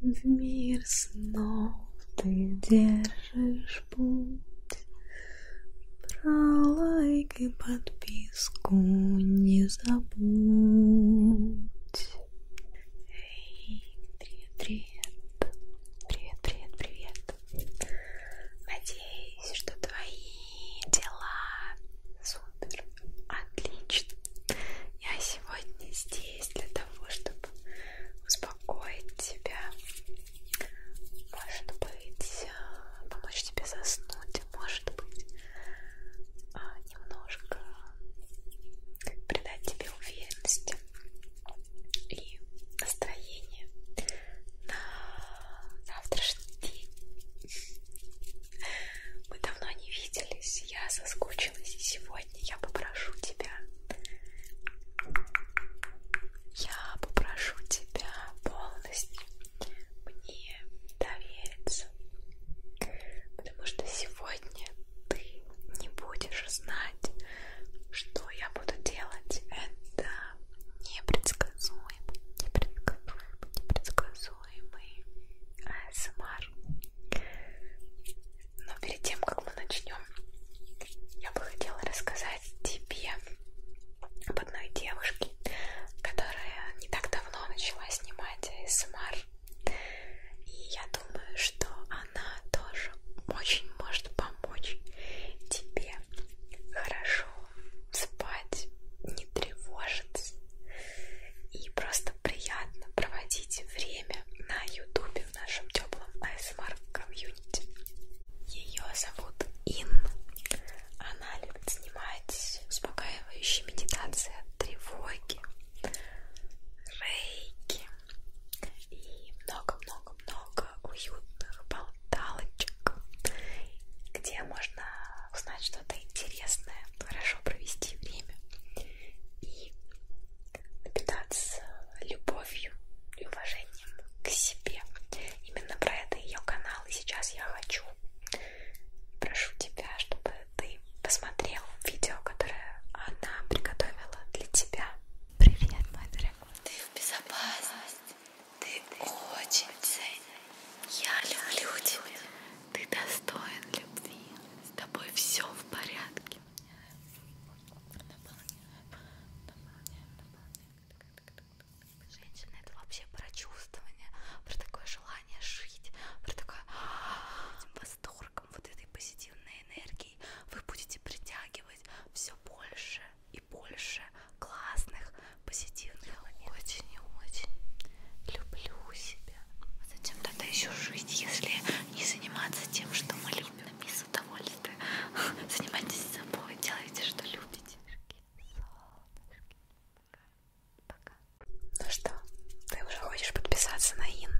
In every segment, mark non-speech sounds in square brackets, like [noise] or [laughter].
В мир снов ты держишь путь, Про лайк и подписку не забудь. Эй, привет-привет, привет-привет-привет. Надеюсь, что твои дела супер. Отлично. Я сегодня здесь для того, чтобы успокоить тебя. Может быть, э, помочь тебе заснуть. А может быть, э, немножко придать тебе уверенности и настроение на завтрашний день. Мы давно не виделись, я соскучилась, и сегодня я попрошу тебя. Я попрошу тебя полностью мне довериться. Потому что сегодня ты не будешь знать, что я буду делать. Это непредсказуемо, непредсказуемо, непредсказуемо предсказуемый АСМР. Но перед тем, как мы начнем, я бы хотела рассказать тебе об одной девушке, которая не так давно начала снимать АСМР. И я думаю, что она тоже очень может помочь тебе хорошо спать, не тревожиться и просто приятно проводить время на ютубе в нашем теплом ASMR комьюнити. Ее зовут Ин. Она любит снимать успокаивающие медитации от тревоги, рейки и много-много-много уютных болталочек, где можно узнать что-то интересное, хорошо провести время и напитаться любовью и уважением к себе. Именно про это ее канал. И сейчас я хочу, прошу тебя, чтобы ты посмотрел видео, которое она приготовила для тебя. Привет, мой дорогой. Ты в безопасности. Ты, ты очень ценен. Я люблю тебя. Ты достоин любви. С тобой все в порядке. Наполняем, наполняем, наполняем. Женщина это вообще про чувствование, про такое желание жить, про такое «А, этим восторгом, вот этой позитивной энергией вы будете притягивать все больше и больше классных, позитивных. Я очень и очень люблю себя. А зачем тогда еще жить, если не заниматься тем, что мы любим? Без удовольствия. [laughs] Занимайтесь собой, делайте, что любите. Солнышки. Пока. Ну что, ты уже хочешь подписаться на Ин?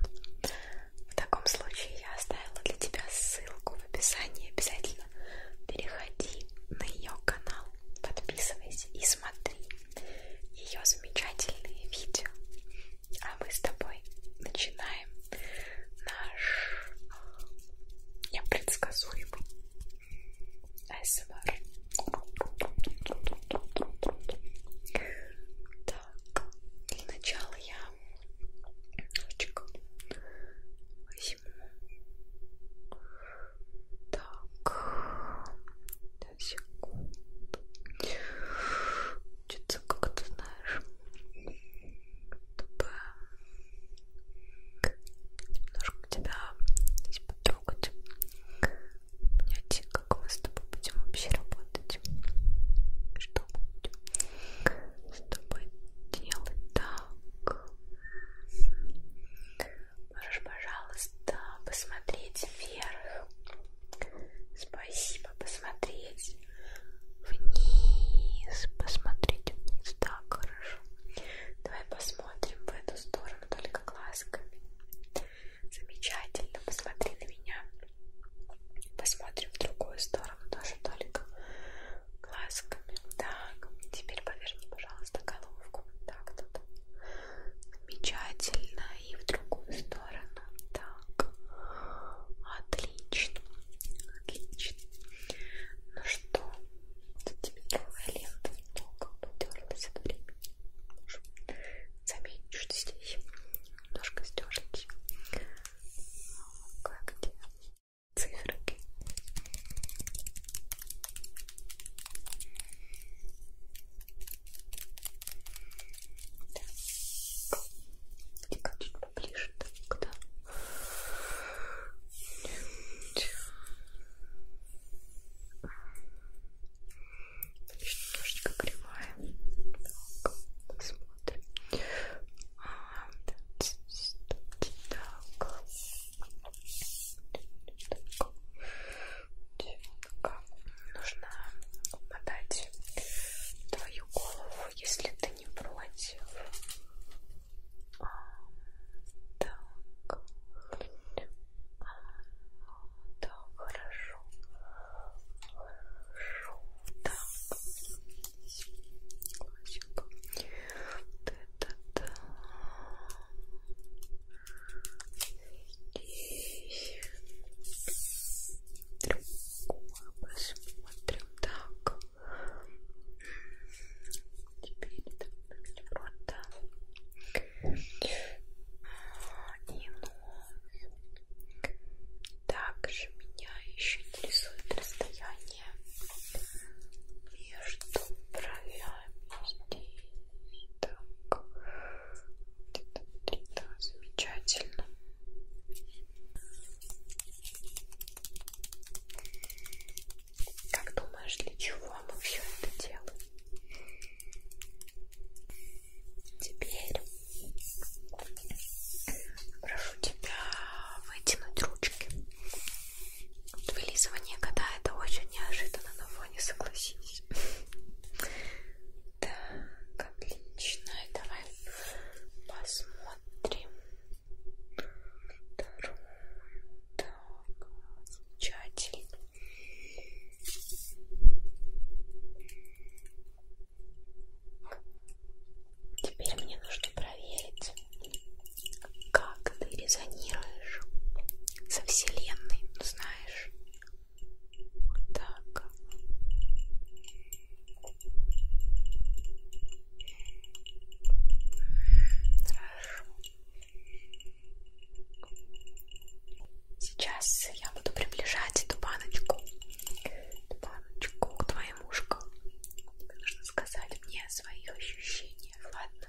В таком случае я оставила для тебя ссылку в описании. Обязательно переходи на ее канал, подписывайся и смотри ее замечательные видео. А мы с тобой начинаем наш непредсказуемый АСМР. Так, для начала я немножечко возьму так секунд. Чуть как ты знаешь, чтобы немножко тебя здесь потрогать, понять, как мы с тобой будем вообще работать, что будем с тобой делать так, Можешь, пожалуйста, посмотреть вверх. Спасибо. Посмотреть вниз. Посмотреть вниз. Так, хорошо. Давай посмотрим в эту сторону только глазками. Замечательно. Посмотри на меня. Посмотрим в другую сторону тоже только глазками. Так, теперь поверни, пожалуйста, головку. Так, тут замечательно и в другую сторону так отлично отлично ну что тут тебе новая лента немного потерлась от времени заметишь здесь немножко стерлись как где цифры так, чуть поближе, так, да. Немножечко кривая. Так, посмотрим. А, так, так. Так нужно подать твою голову, если ты не против. А, так, да, хорошо, хорошо, так, вот это, так здесь другое посмотрим так теперь это просто и вновь также меня еще интересует расстояние между бровями здесь так, где-то внутри, да, замечательно. Как думаешь, для чего мы все это делаем? Теперь прошу тебя вытянуть ручки. Вылизывание кота это очень неожиданно на фоне, согласись. Так, отлично. И давай посмотрим. Вторую. Так, замечательно. Теперь мне нужно проверить, как ты резонируешь со вселенной, ну знаешь. Так. Хорошо. Сейчас я буду приближать эту баночку, эту баночку к твоим ушкам. Нужно сказать мне о своих ощущениях, ладно?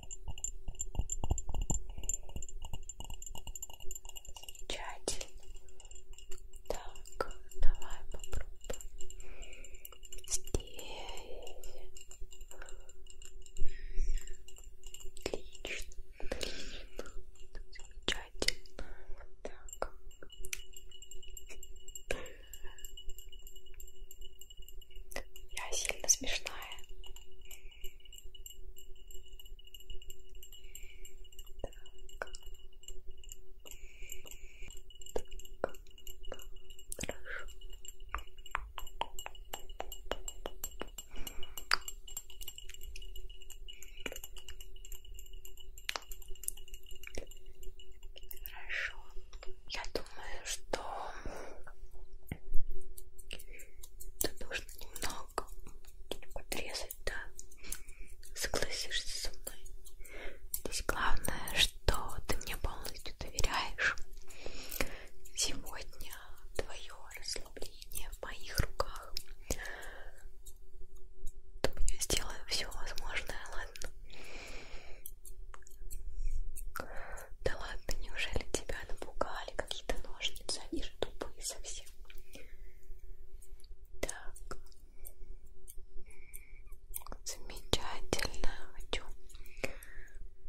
Замечательно. Так, давай попробуем. Здесь. Отлично. Замечательно. Вот так. Я сильно смешная. Так. Так. Хорошо. Хорошо я думаю, что это нужно немного подрезать, да? Согласишься со мной? Здесь главное, что ты мне полностью доверяешь. Сегодня твое расслабление в моих руках. Я сделаю все возможное, ладно? Да ладно, неужели тебя напугали какие-то ножницы? Они же тупые совсем. Так. Замечательно. Хочу,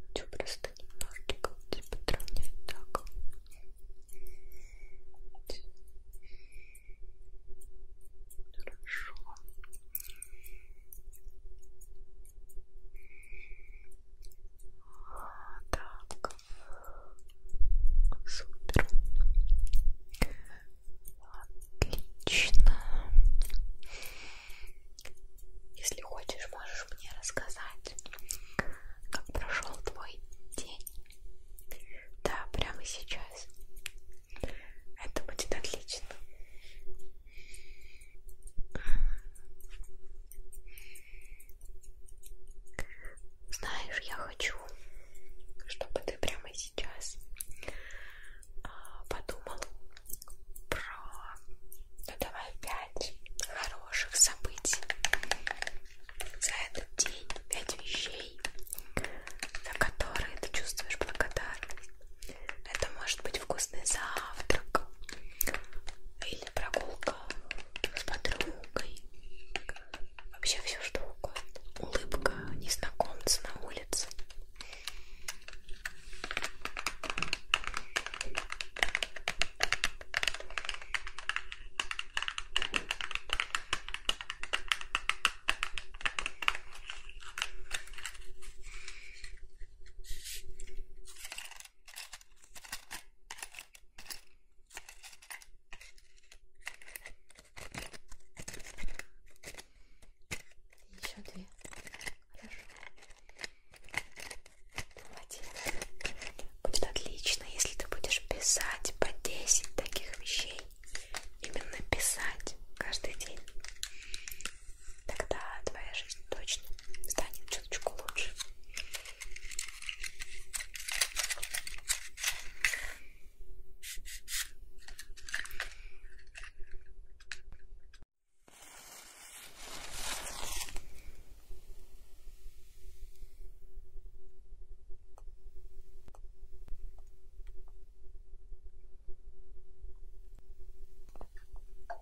хочу просто немножечко типа подровнять так. Хорошо. Так, супер, отлично. Если хочешь, можешь мне рассказать, как прошел твой день. Да, прямо сейчас. Это будет отлично. Знаешь, я хочу, чтобы ты прямо сейчас а, подумал про, ну давай, пять хороших событий за этот день, пять вещей, за которые ты чувствуешь благодарность. Это может быть вкусный завтрак или прогулка с подругой. Вообще все что угодно. Улыбка незнакомца на улице. Еще две. Хорошо. Молодец. Будет отлично, если ты будешь писать по 10 таких вещей. Именно писать каждый день тогда твоя жизнь точно станет чуточку лучше.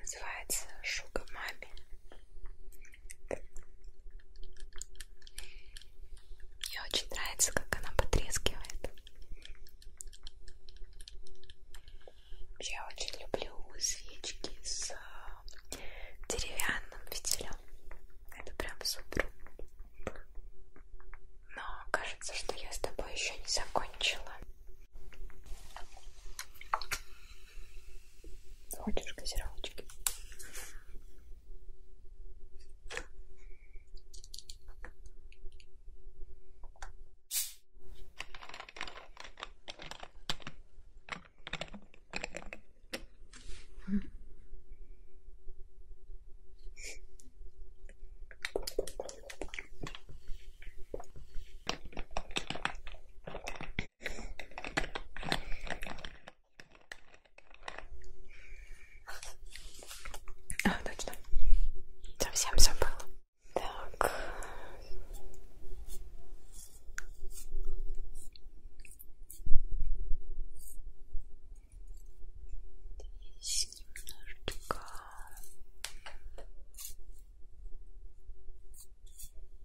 Называется Шуга Мами. Мне очень нравится, как она потрескивает. Я очень люблю свечки с э, деревянным фитилем. Это прям супер. Но кажется, что я с тобой еще не закончила. Хочешь газировочки? А, точно. Совсем забыла. Так. Здесь немножечко.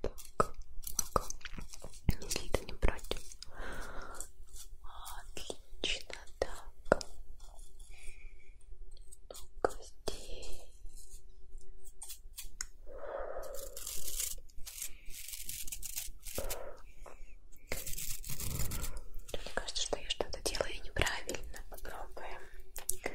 Так, так, если это не против. Отлично, так. Ну-ка здесь. Мне кажется, что я что-то делаю неправильно. Попробуем.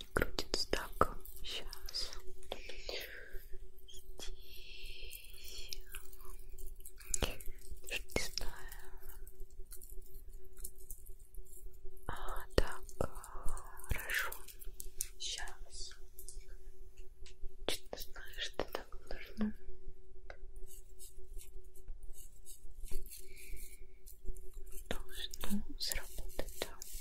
не крутится так. Сейчас. Здесь. Даже не знаю. А, так. Хорошо. Сейчас. Чуть не знаю, что так нужно. Должно сработать, да. Отлично. Так. Супер.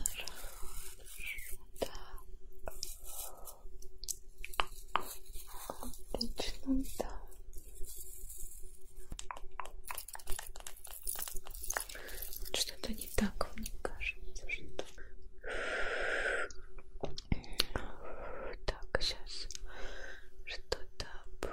Хорошо. Так. Отлично, да. Что-то не так, мне кажется, что... Так, сейчас что-то... Так,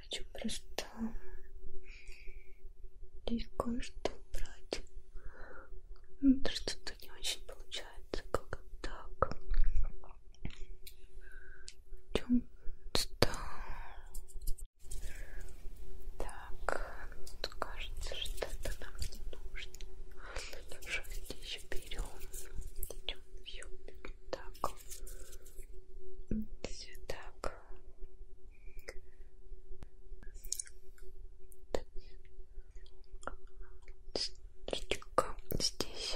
хочу просто и кое-что брать. Ну, то что-то не очень получается, как так. В чем -то... Так, ну, кажется, что это нам не нужно. Давайте еще берем. Идем, все берем так, все так. Здесь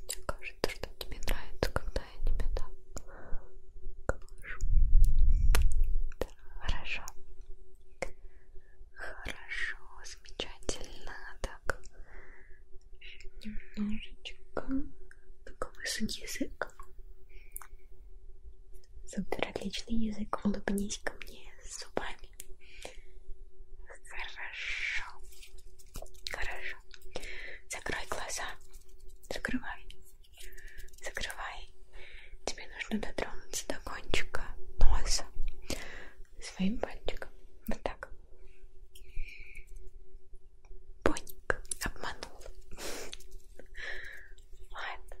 мне кажется, что тебе нравится, когда я тебя так глажу. Да, хорошо. Хорошо, замечательно. Так, немножечко так высунь язык. Супер, отличный язык. Улыбнись ко мне зубами. Хорошо. Хорошо. Закрой глаза. Закрывай. Закрывай. Тебе нужно дотронуться до кончика носа своим пальчиком. Вот так. Поник, обманул. Ладно,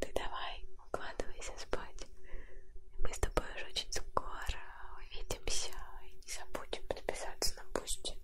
ты давай укладывайся спать. Мы с тобой уже очень скоро увидимся. И не забудем подписаться на Бусти.